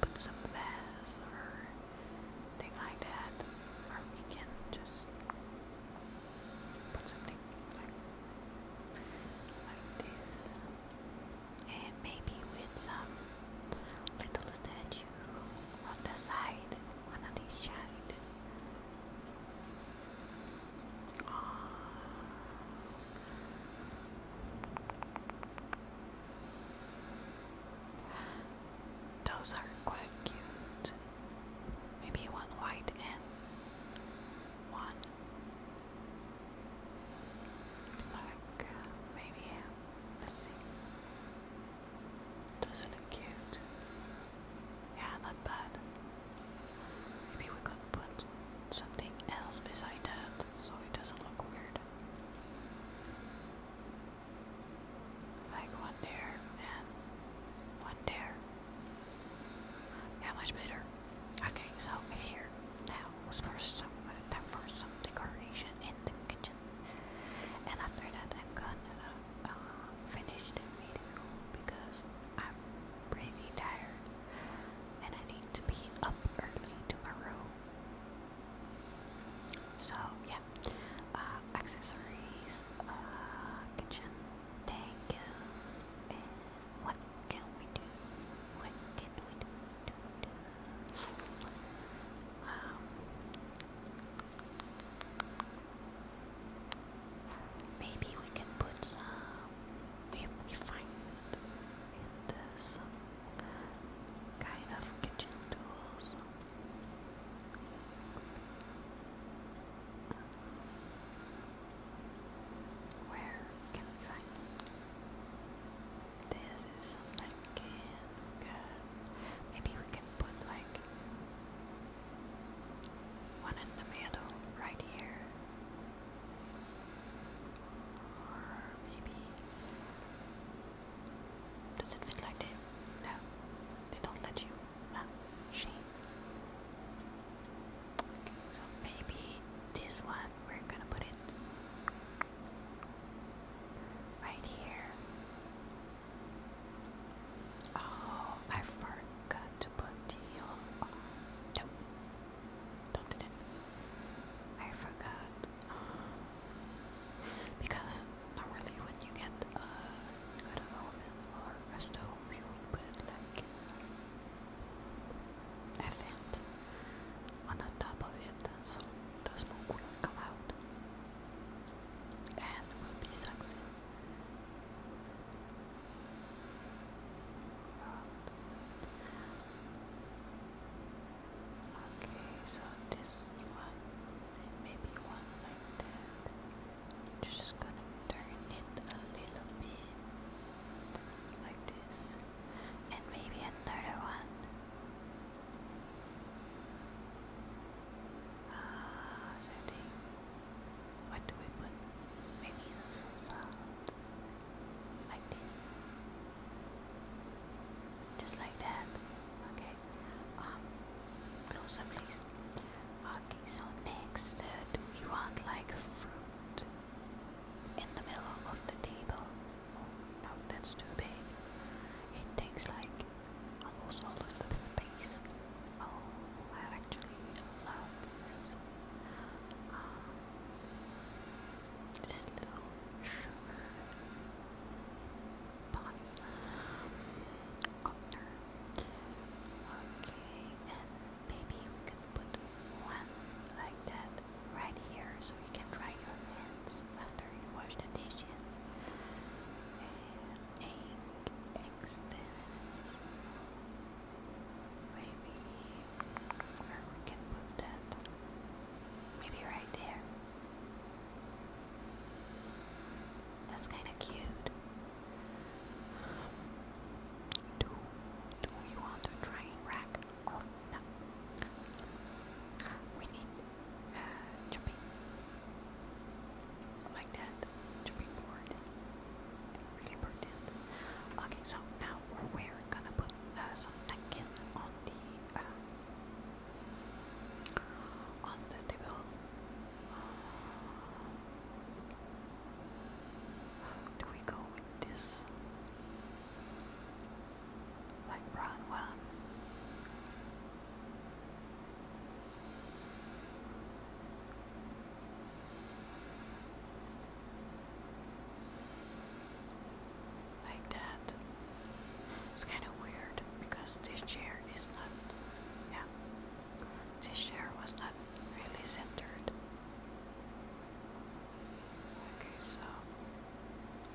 put some mess or thing like that, or we can just put something like, this, and maybe with some little statue on the side, one of these side. Oh. Uh, those are quite cute. Maybe one white and one black, maybe. let Does it look cute? Yeah, not bad. Maybe we could put something else beside that so it doesn't look weird. Like one dare and one dare. Yeah, much better. Okay, so here now was first some uh, time some decoration in the kitchen, and after that I'm gonna uh, finish the video because I'm pretty tired and I need to be up early tomorrow so yeah, uh, accessories, uh, kitchen, thank you. And what can we do? What can we do? do, do? Um, maybe we can put some. If we find it, uh, some kind of kitchen tools. Where can we This is something we Maybe we can put like one in the middle right here. Or maybe does it fit like that? No, they don't let you. Ah, shame. Okay, so maybe this one we're gonna put it right here. Oh, I forgot to put the. Oh, um, no, don't I forgot because not really when you get uh, you oven or a stove, you put like a vent on the top of it, so the smoke will come out and will be sucked Okay, so this one, maybe one like that. just going turn it a little bit like this, and maybe another one. Ah, uh, What do we put? Maybe some sound like this. Just like that. Okay. Um closer please. Okay, so next uh, do you want like fruit in the middle of the table? Oh no, that's too big. It takes like almost all of the space. Oh, I actually love this. Um, just a little Okay, and maybe we can put one like that right here so you can dry your hands after you wash the dishes. Maybe we can put that. Maybe right there. That's kind of cute. Do, do you want a train wreck or oh, not? We need jumping. Uh, like that. Jumping board. Really important. Okay, so now we're, gonna put uh, some napkin on the uh, on the table. do we go with this? Like brown one? like that. It's kind of weird because this chair is not, yeah, this chair was not really centered. Okay, so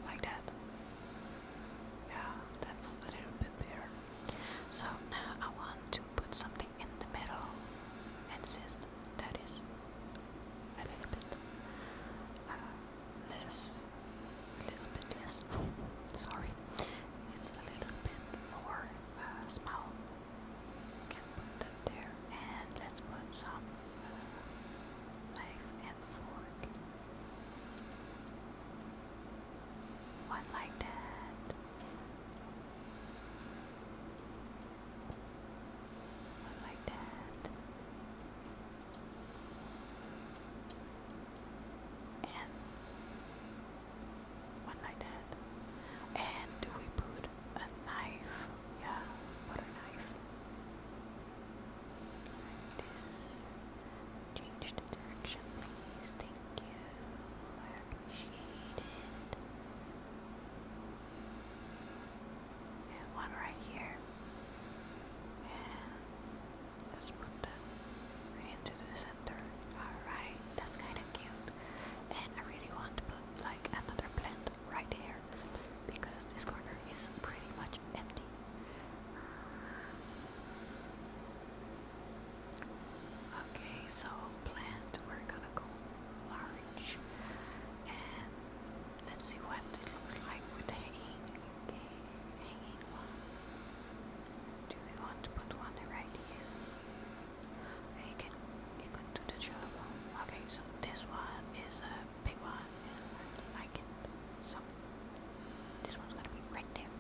like that. Yeah, that's a little bit better. So now I want to put something in the middle, and since that is a little bit uh, less, a little bit less, sorry, it's a little bit more uh, small. We can put that there and let's put some uh, knife and fork. One like that. One like that. And one like that. And we put a knife? Yeah, what a knife. Like Change the direction, please. Thank you. I appreciate and one right here. And let's put them into the center. Alright, that's kind of cute. And I really want to put like another plant right here because this corner is pretty much empty. Okay, so plant, we're gonna go large and Let's see what it looks like with hanging, hanging one. Do we want to put one right here? You can, you can do the job. Okay, so this one is a big one, I like it. So this one's gonna be right there.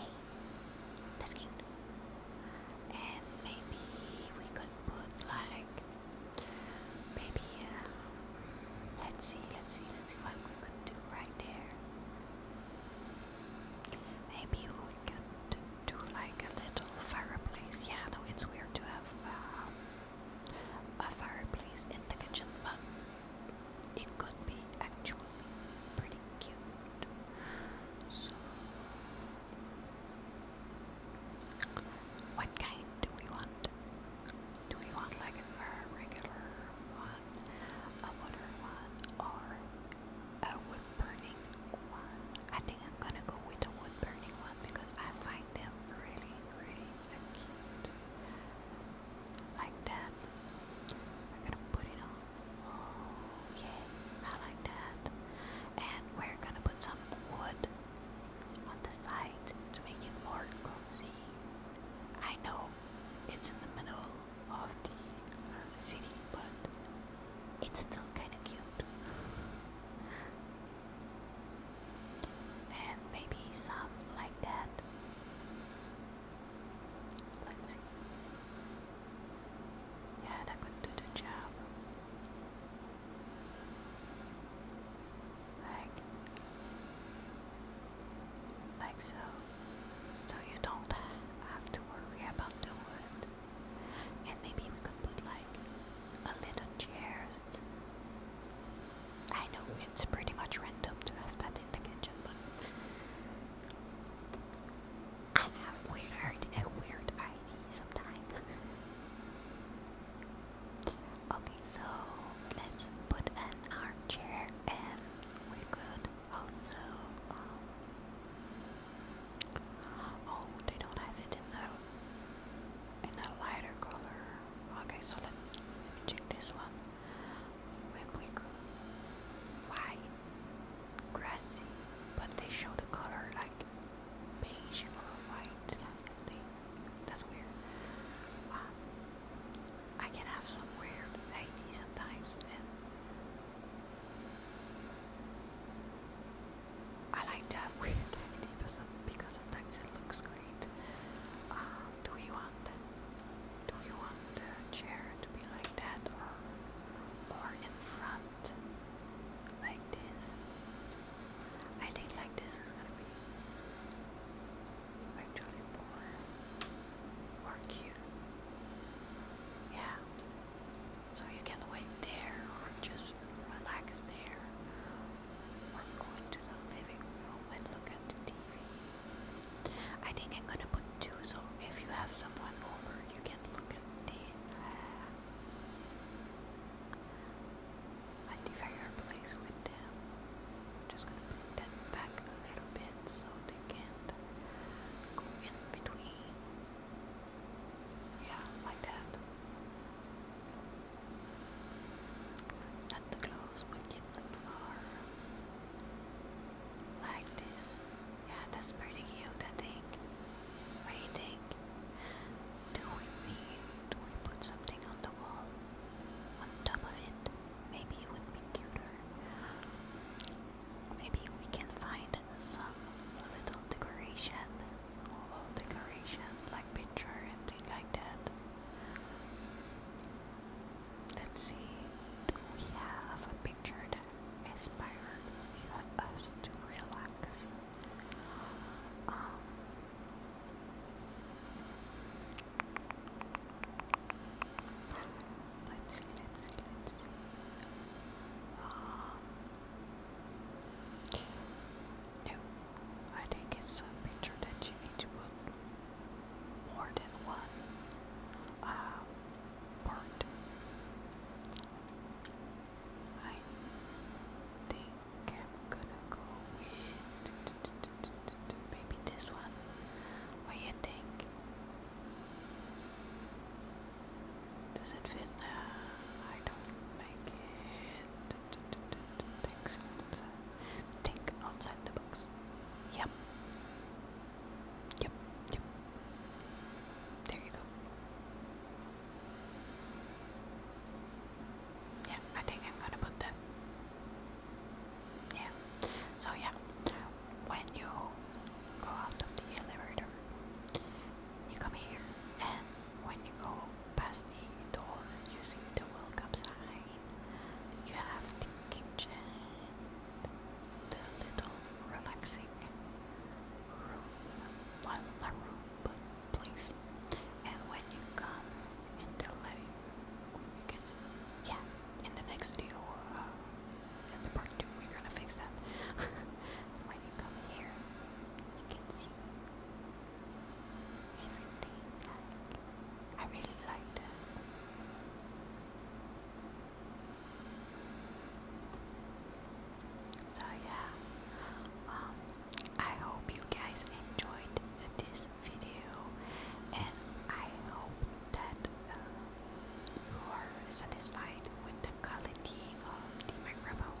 Yay! That's cute. And maybe we could put like Maybe, uh, let's see, let's see, let's see what we can do right there. Maybe we can do like a little fireplace. Yeah, no, it's weird to have um, a fireplace in the kitchen, but it could be actually pretty cute. So, what kind do we want? Do you want like a regular one, a modern one, or a wood burning one? I think I'm gonna go with the wood burning one because I find them really, really cute. Like that. I'm gonna put it on. Oh yeah, I like that. And we're gonna put some wood on the side to make it more cozy. I know it's in the middle of the um, city, but it's still kind of cute. and maybe some like that. Let's see. Yeah, that could do the job like like so so you don't have to worry about the wood and maybe we could put like a little chair I know it's pretty much random to have that in the kitchen but I have weird, weird ideas sometimes Okay, so let's put an armchair and we could also. Um, oh, they don't have it in the in the lighter color. Okay, so let, let me check this one. Maybe could white, grassy, but they show the color like beige or white. They that's weird. Um, I can have some weird ID sometimes, I like to have weird ID because sometimes it looks great. Um, do you want Do you want the chair to be like that, or or in front, like this? I think like this is gonna be actually more more cute. Yeah. So you can wait there or just relax there or go into the living room and look at the TV. I think I'm gonna put two so if you have someone over you can look at the uh, I at the place with them. I'm just gonna put that back a little bit so they can't go in between. Yeah, like that. Not too close, but yet not far. Like this. Yeah, that's pretty cute, I think. What do you think? Do we, do we put something on the wall? on top of it. Maybe it would be cuter. Maybe we can find some little decoration, wall decoration, like picture and thing like that. Let's see, do we have a picture that inspired us to relax? Um, Let's let's let's see. Um, I think it's a picture that you need to put more than one uh, part. I think I'm gonna go with maybe this one. What do you think? Does it fit uh, I don't like it. Think outside the box. Yep. Yep. Yep. There you go. Yeah, I think I'm gonna put that. Yeah. So yeah, when you go out of the elevator, you come here, and when you go past the door, using see the welcome sign. You have the kitchen, the little relaxing room, well, not room, but place and when you come in the light, you can see, yeah, in the next video, uh, part two, we're gonna fix that. when you come here, you can see everything. I really liked it. So yeah, um, I hope you guys enjoyed this video, and I hope that uh, you are satisfied with the quality of the microphone.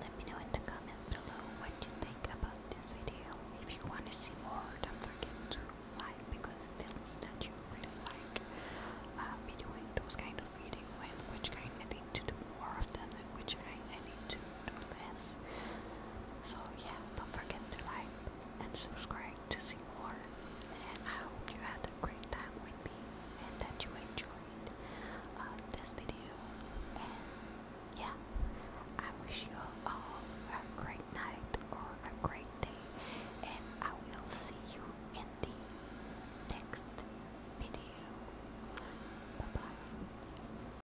Let me know in the comment below what you think about this video. If you want to see more, don't forget to like because it tells that you really like uh, those kind of video and which kind I need to do more of them and which kind I need to so yeah, don't forget to like and subscribe to see more. And I hope you had a great time with me and that you enjoyed uh, this video. And yeah, I wish you all a great night or a great day. And I will see you in the next video. Bye bye.